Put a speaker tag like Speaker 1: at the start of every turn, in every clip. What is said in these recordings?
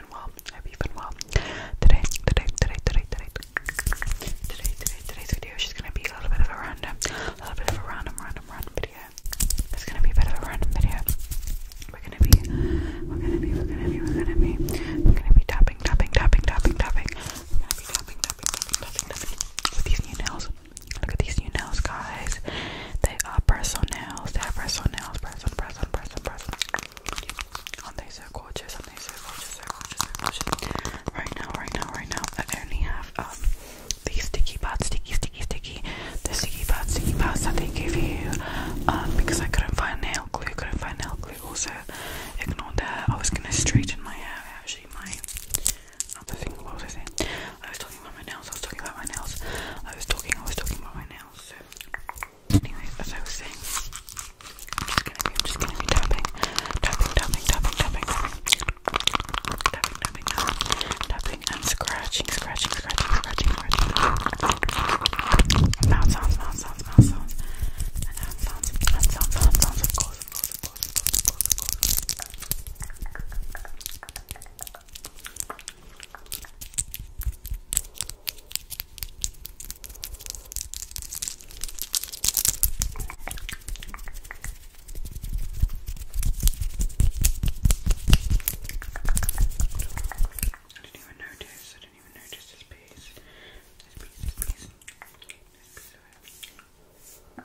Speaker 1: been well. I you been well. Today, today, today, today, today, today, today, today's video is gonna be a little bit of a random, a little bit of a random, random, random video. It's gonna be a bit of a random video. We're gonna be, we're gonna be, we're gonna be, we're gonna be, we're gonna be tapping, tapping, tapping, tapping, tapping. We're with these new nails. Look at these new nails, guys. They are press on nails. They are press on nails. Press on, press on, press on. Aren't they so gorgeous? Aren't they so gorgeous, so gorgeous, so gorgeous? Right now, right now, right now, I only have um these sticky pads, sticky, sticky, sticky, the sticky pads, sticky pads that they gave you. Um, because I couldn't find nail glue, couldn't find nail glue. Also, ignore that. I was gonna straighten my hair. Actually, my other thing. What was I saying? I was talking about my nails. I was talking about my nails. I was talking. I was talking about my nails. Anyways, as I was saying, am just gonna be, just going tapping, tapping, tapping, tapping, tapping, tapping, tapping, tapping, tapping, and scratching, scratching, scratching, scratching, scratching. Mouth sounds, mouth sounds, mouth sounds, and hand sounds, hand sounds, hand sounds, of course, of course, of course, of course, of course didn't even notice, I didn't even notice this piece. This piece, this piece. This piece of it.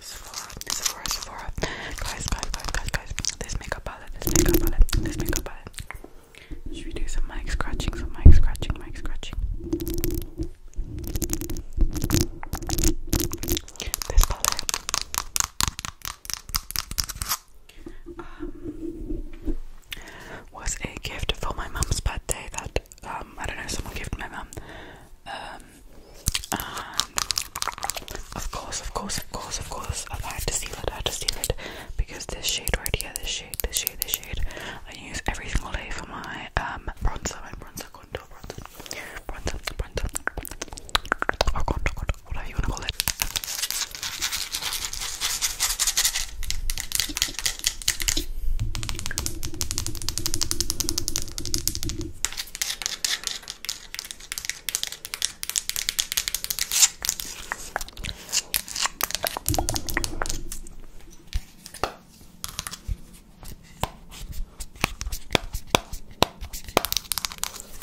Speaker 1: Sephora, Sephora, Sephora. Guys, guys, guys, guys, guys. This makeup palette, this makeup palette, this makeup palette. Should we do some mic scratching? Some mic scratching, mic scratching. This palette. Um, was a gift for my mum's birthday that um I don't know someone gave my mum um um, of course, of course, of course, of course, I had to steal it, I had to steal it because this shade right here, this shade, this shade, this shade, I use every single day for my um bronzer, my bronzer contour, bronzer, bronzer, bronzer, bronzer or contour, contour, whatever you want to call it. I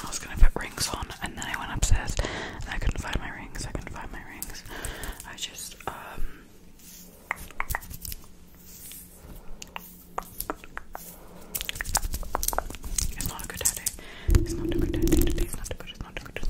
Speaker 1: was gonna put rings on and then I went upstairs and I couldn't find my rings, I couldn't find my rings. I just um, it's not a good headache. It's not a good headache today. It's not a good. It's not a good. It's not a good.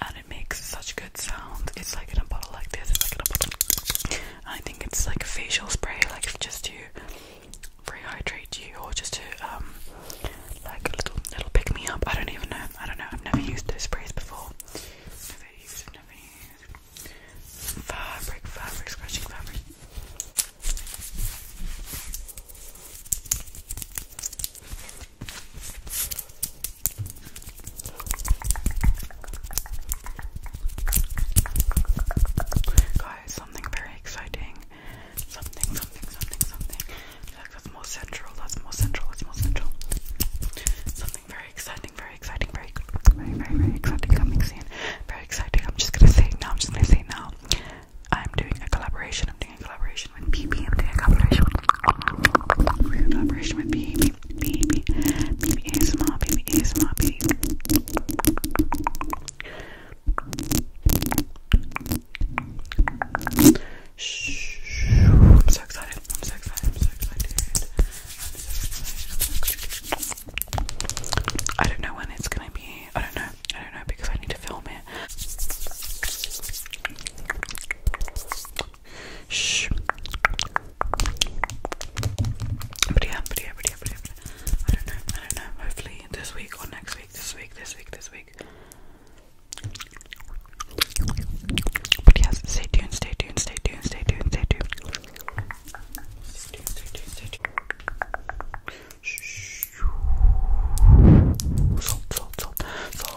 Speaker 1: and it makes such good sound. It's like in a bottle like this. It's like a I think it's like a facial spray, like just to rehydrate you or just to um like a little little pick me up. I don't even know. I don't know. I've never used those sprays before. Fabric, fabric, scratching fabric. Guys, something very exciting. Something, something, something, something. that's more central, that's more central, that's more central. Something very exciting, very exciting, very very, very, exciting coming soon. Very exciting. I'm just gonna say now, I'm just gonna say now. I'm doing a collaboration, in collaboration with BB. I'm doing a collaboration with we're in collaboration with BB. BB. BB ASMR. BB ASMR. BB. Shh. I'm so excited. I'm so excited. I'm so excited. I'm so excited. I don't know when it's gonna be. I don't know. I don't know because I need to film it. Shh. But yeah, but yeah, but yeah, but yeah, I don't know, I don't know. Hopefully this week or next week, this week, this week, this week. But yes, stay tuned, stay tuned, stay tuned, stay tuned, stay tuned. Shh. Salt, salt, salt, salt,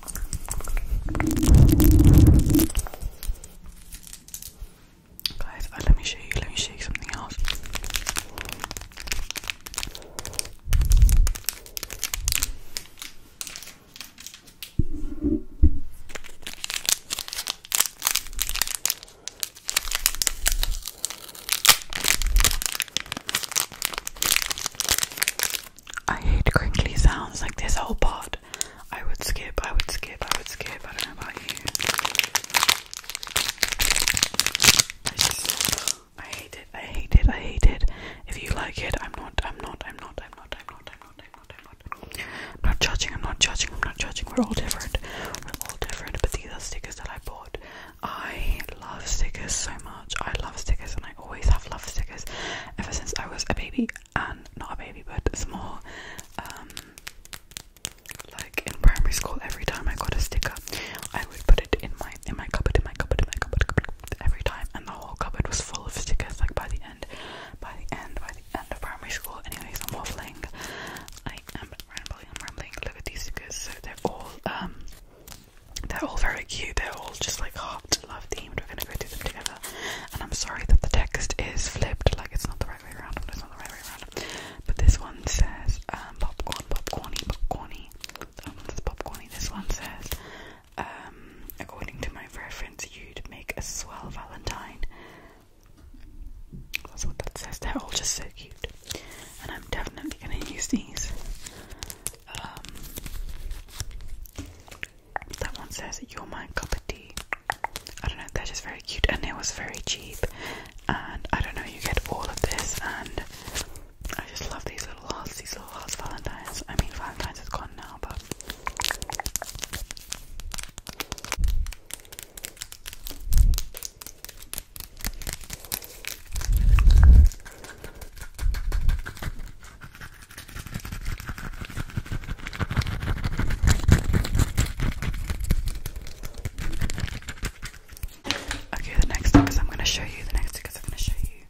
Speaker 1: Guys, uh, let me show you, let me show you something else. I hate crinkly sounds like this whole part. I would skip, I would skip, I would skip. I don't know about you. I just I hate it, I hate it, I hate it. If you like it, I'm not, I'm not, I'm not, I'm not, I'm not, I'm not, I'm not, I'm not, I'm not. I'm not judging, I'm not judging, I'm not judging. We're all different. We're all different, but these are stickers that I bought. I love stickers so much. I love stickers and I I always have love stickers ever since I was a baby and not a baby but small. Um, like in primary school, every time I got a sticker, I would put it in my in my cupboard, in my cupboard, in my cupboard, cupboard every time, and the whole cupboard was full of stickers. Like by the end, by the end, by the end of primary school. Anyways, I'm waffling. I am rambling. I'm rambling. Look at these stickers. So they're all um, they're all very cute. They're all just like heart soft love themed. We're gonna go through them together. And I'm sorry that the text is flipped, like it's not the right way around. It's not the right way around. But this one says um, popcorn, popcorny, popcorny. Oh, that one popcorny. This one says, um, according to my reference, you'd make a swell Valentine. That's what that says. They're all just so cute. And I'm definitely gonna use these. Um, that one says you're my cup of tea i don't know they're just very cute and it was very cheap and i don't know you get all of this and i just love these little hearts these little hearts valentines i mean valentines is gone now but Okay, the next thing I'm gonna show you. The next thing is I'm gonna show you.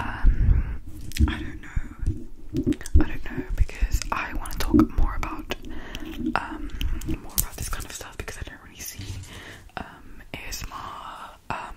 Speaker 1: Um, I don't know. I don't know because I want to talk more about um more about this kind of stuff because I don't really see um ASMR um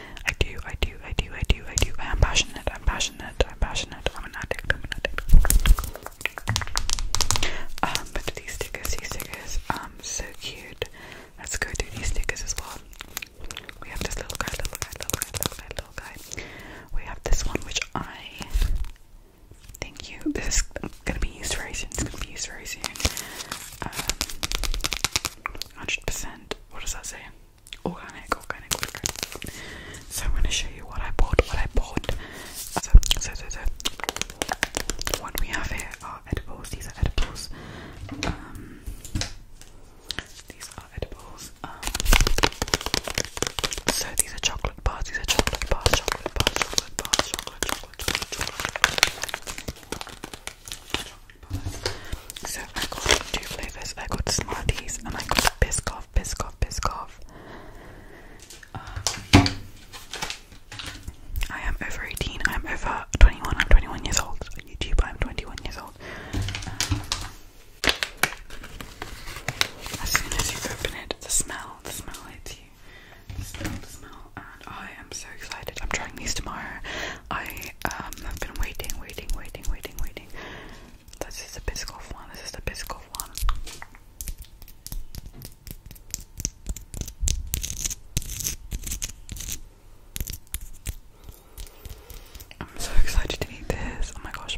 Speaker 1: I do, I do, I do, I do, I do. I am passionate, I'm passionate, I'm passionate, I'm an addict, I'm an addict. Um, but these stickers, these stickers, um, so cute. Let's go through these stickers as well. We have this little guy, little guy, little guy, little guy, little guy. We have this one which I think you this is gonna be used very soon. It's gonna be used very soon. Um 100%. What does that say? Organic, organic, organic. So I'm going to show you what I bought, what I bought. So, so, so, so. What we have here are edibles. These are edibles. Um, these are edibles. Um, so these are chocolate bars. These are chocolate bars, chocolate bars, chocolate bars, chocolate, chocolate, chocolate, chocolate, chocolate. So I got two flavors. I got Smarties and I got Biscoff, Biscoff, Biscoff. Um, I am over 18. I'm over 21. I'm 21 years old. On YouTube, I'm 21 years old. Um, as soon as you open it, the smell, the smell hits you. The smell, the smell, I am so excited. I'm trying these tomorrow. I um, I've been waiting, waiting, waiting, waiting, waiting. This is the Biscoff one. This is the Biscoff one. I'm so excited to eat this. Oh my gosh.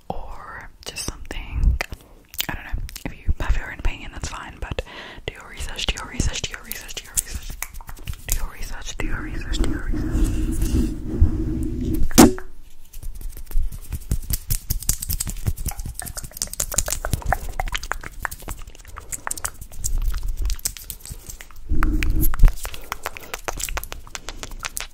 Speaker 1: or just something. I don't know. If you have your own opinion, that's fine, but do your research, do your research, do your research, do your research. Do your research, do your research, do your research.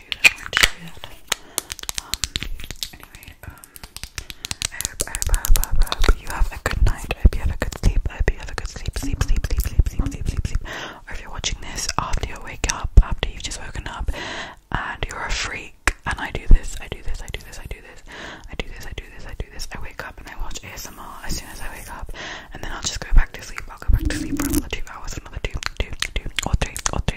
Speaker 1: show you that. I wanted to show you that. Um, anyway, um, I hope, I hope, I hope, I hope, I hope you have a good night. I hope you have a good sleep. I hope you have a good sleep, sleep, sleep, sleep, sleep, sleep, sleep, sleep, sleep. Or if you're watching this after you wake up, after you've just woken up, and you're a freak, and I do this, I do this, I do this, I do this, I do this, I do this, I do this. I wake up and I watch ASMR as soon as I wake up, and then I'll just go back to sleep. I'll go back to sleep for another two hours, another two, two, two, or three, or three